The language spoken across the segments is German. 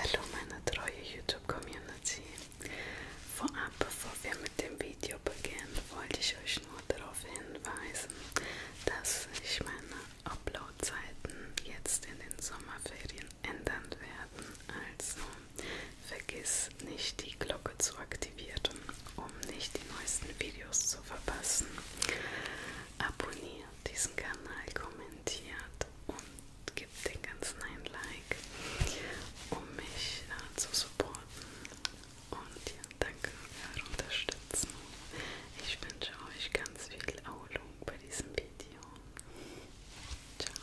Hallo meine treue YouTube-Community. Vorab, bevor wir mit dem Video beginnen, wollte ich euch nur darauf hinweisen, dass sich meine Upload-Zeiten jetzt in den Sommerferien ändern werden. Also vergiss nicht die Glocke zu aktivieren, um nicht die neuesten Videos zu verpassen. Abonniert diesen Kanal, kommentiert und gib dem Ganzen ein Like, um mich äh, zu supporten und ja, danke für eure Unterstützung. Ich wünsche euch ganz viel Erholung bei diesem Video. Ciao.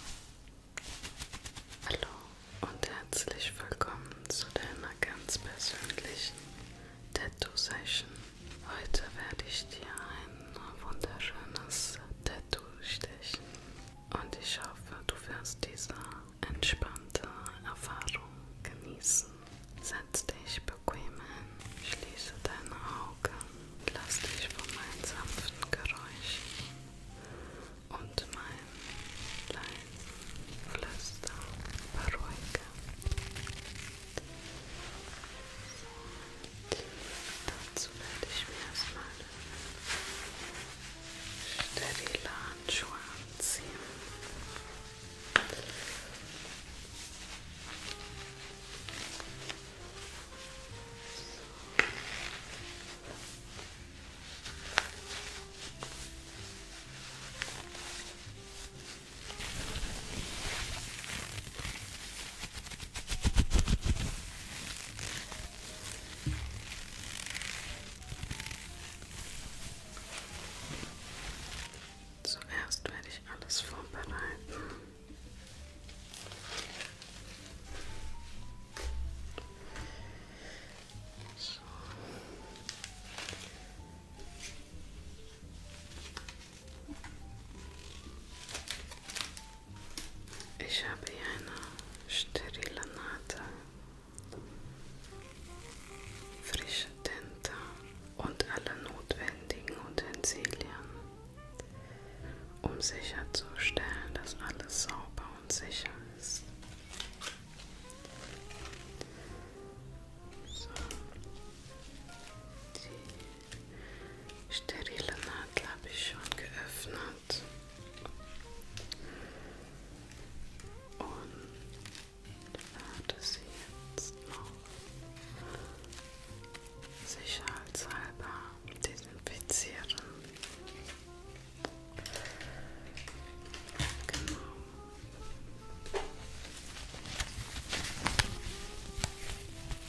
Hallo und herzlich willkommen zu deiner ganz persönlichen Tattoo Session. Heute werde ich dir ein wunderschönes Tattoo-Stechen. Und ich hoffe, du wirst diese entspannte Erfahrung genießen. Setz dich bequem hin, schließe deine Augen, lass dich von meinen sanften Geräuschen und meinem leisen Flüster beruhigen. So. Dazu werde ich mir erstmal sterile Handschuhe anziehen. So. Zuerst werde ich alles vorbereiten. So. Ich habe hier eine sterile Nadel, frische Tinte und alle notwendigen Utensilien, um sicherzustellen, dass alles sauber und sicher ist. So. Die sterile Nadel habe ich schon geöffnet. Und werde sie jetzt noch sicherheitshalber desinfizieren. Genau.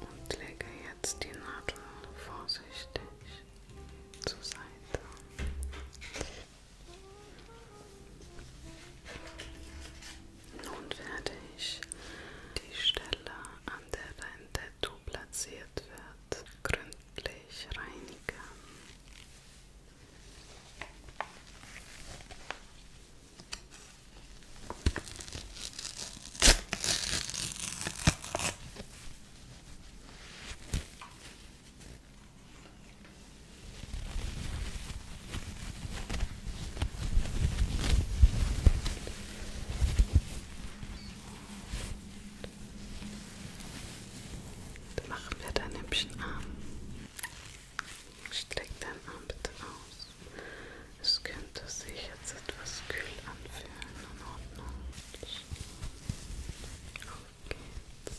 Und lege jetzt die Nadel vorsichtig zur Seite. Nun werde ich die Stelle, an der dein Tattoo platziert wird, gründlich reinigen. Dann machen wir deinen hübschen Arm. Streck deinen Arm bitte aus. Es könnte sich jetzt etwas kühl anfühlen. In Ordnung. Auf geht's.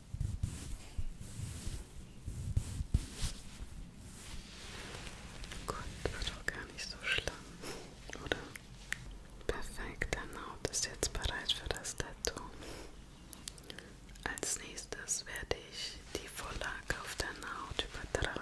Gut, wird auch gar nicht so schlimm, oder? Perfekt, deine Haut ist jetzt bereit für das Tattoo. Als nächstes werde ich die Vorlage auf deine Haut übertragen.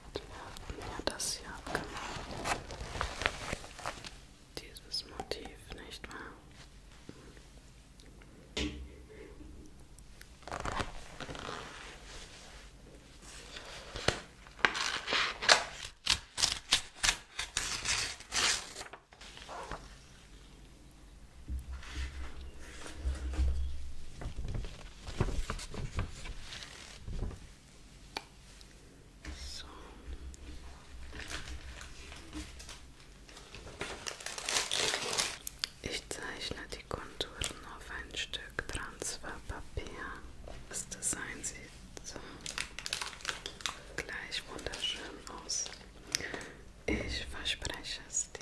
mir das hier abgemacht. Dieses Motiv, nicht wahr? So. Ich zeichne die Konturen auf ein Stück Transferpapier. Das Design sieht gleich wunderschön aus. Ich verspreche es dir.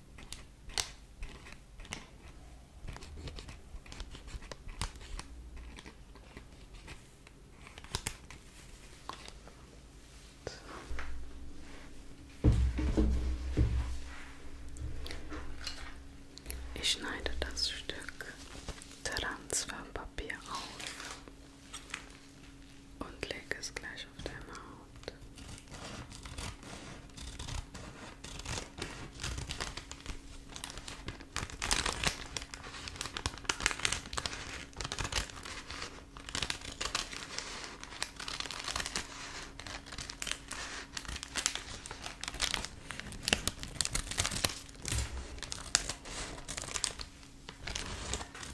Ich schneide das Stück Transferpapier auf und leg es gleich auf deine Haut. Ich werde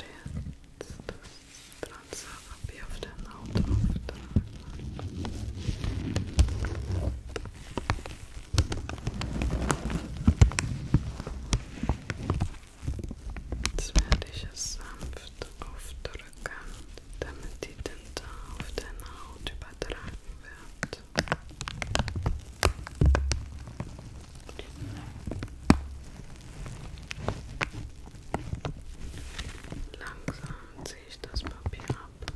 jetzt das Transa ab hier auf der Haut auftragen. Jetzt werde ich es sanft aufdrücken, damit die Tinte auf deine Haut übertragen wird. Langsam ziehe ich das Papier ab.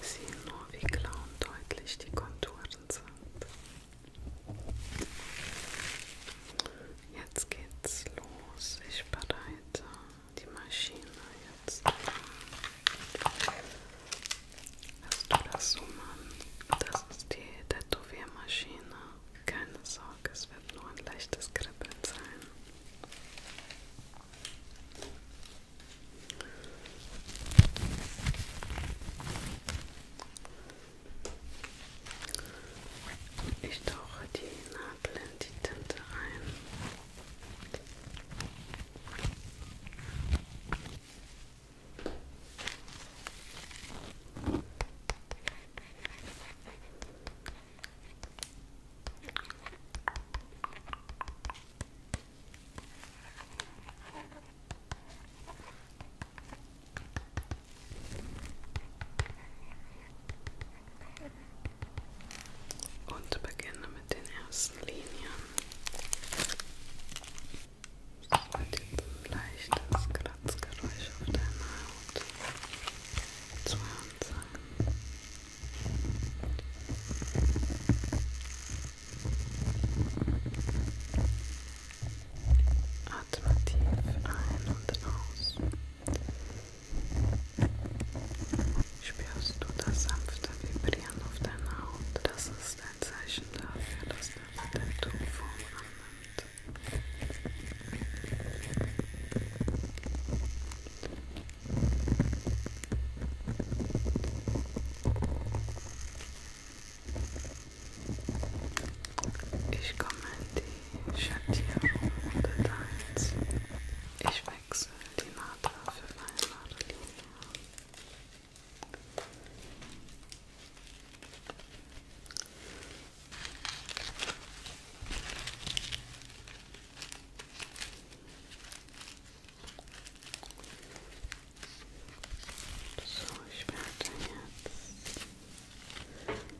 Sieh nur, wie klar und deutlich die Konturen sind. Jetzt geht's los. Ich bereite die Maschine jetzt. Hast du das so, oh Mann? Das ist die Tätowiermaschine. Keine Sorge, es wird nur ein leichtes Kribbeln sein. Ich tauche die Nadel blend die Tinte ein und beginne mit den ersten Linien. Es wird jetzt ein leichtes Kratzgeräusch auf deiner Haut zu hören sein. Atme tief ein und aus. Spürst du das sanfte Vibrieren auf deiner Haut? Das ist ein Zeichen dafür, dass der Tattoo Form annimmt. Ich kommentiere Schattierung und eins. Ich wechsle die Naht für meine Nadellinie. So, ich werde jetzt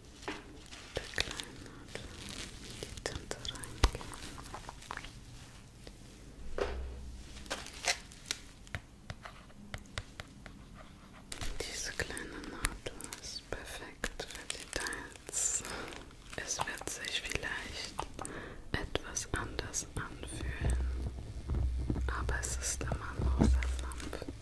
verkleinert, die Tinte reingeben. Diese kleine Nadel ist perfekt für Details. Es wird sich vielleicht etwas anders anfühlen, aber es ist immer noch versanft.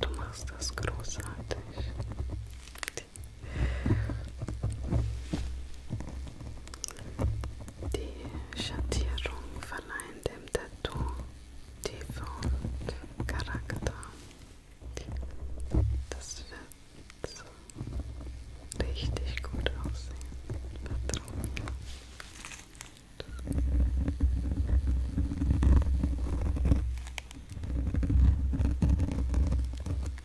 Du machst das großartig. Die Schattierung verleiht dem Tattoo Tiefe und Charakter. Das wird richtig gut aussehen. Vertrauen.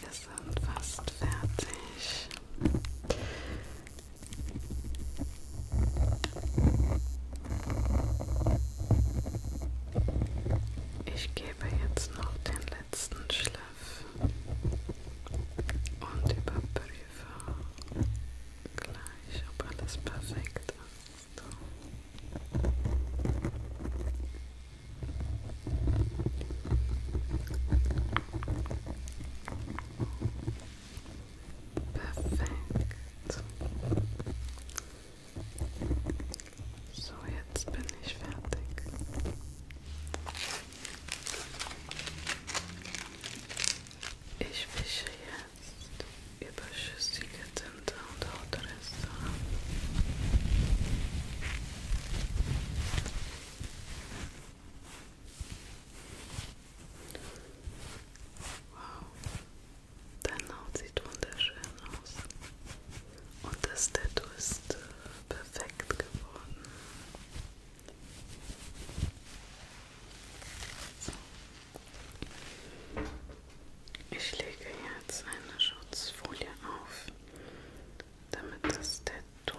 Wir sind fast fertig. Ich gebe jetzt noch den letzten Schliff und überprüfe gleich, ob alles perfekt ist. So. Perfekt. So, jetzt bin ich fertig. Ich wische jetzt überschüssige Tinte und Hautreste ab. Wow, deine Haut sieht wunderschön aus. Und das Tattoo ist äh, perfekt geworden. So. Ich lege jetzt eine Schutzfolie auf, damit das Tattoo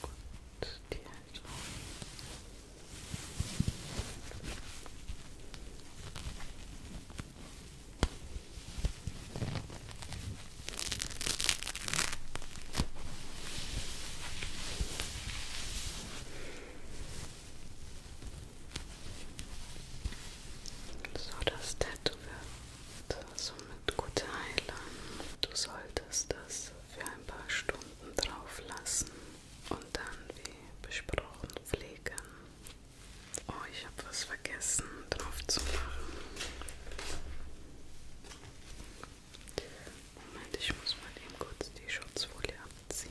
Gut, die Haltung. So, das Tattoo wird somit gut heilen. Du solltest das für ein paar Stunden drauf lassen und dann wie besprochen pflegen. Oh, ich habe was vergessen drauf zu machen. Moment, ich muss mal eben kurz die Schutzfolie abziehen.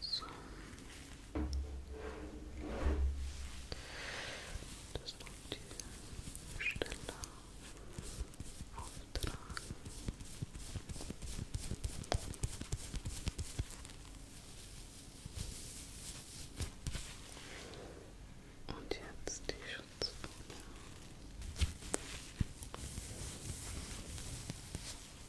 So. Das noch die Stelle auftragen. Und jetzt die Schutzfolie.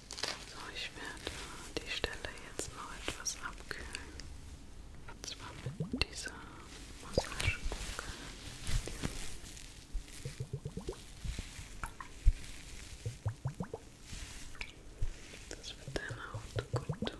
So, ich werde die Stelle jetzt noch etwas abkühlen. Und zwar mit dieser Massagekugel. Das wird deiner Haut gut tun.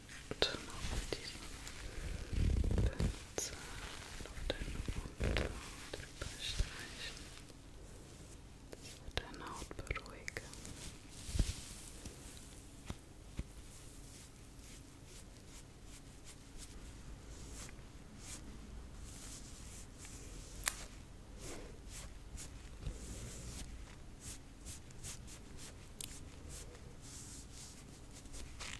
diesen Pinsel auf deinen Mund drüber streichen. Das wird deine Haut beruhigen.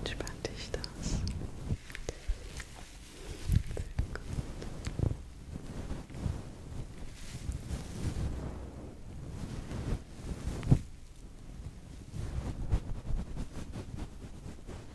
Entspannt dich das. Sehr gut. Sehr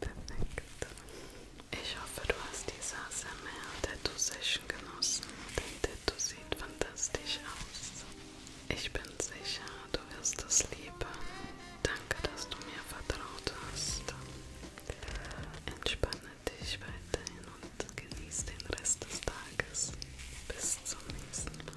Perfekt. Ich hoffe, du hast die ASMR-Tattoo-Session genossen. Dein Tattoo sieht fantastisch aus. Ich bin sicher, du wirst es lieben. Danke, dass du mir vertraut hast. Entspanne dich weiterhin und genieß den Rest des Tages. Bis zum nächsten Mal.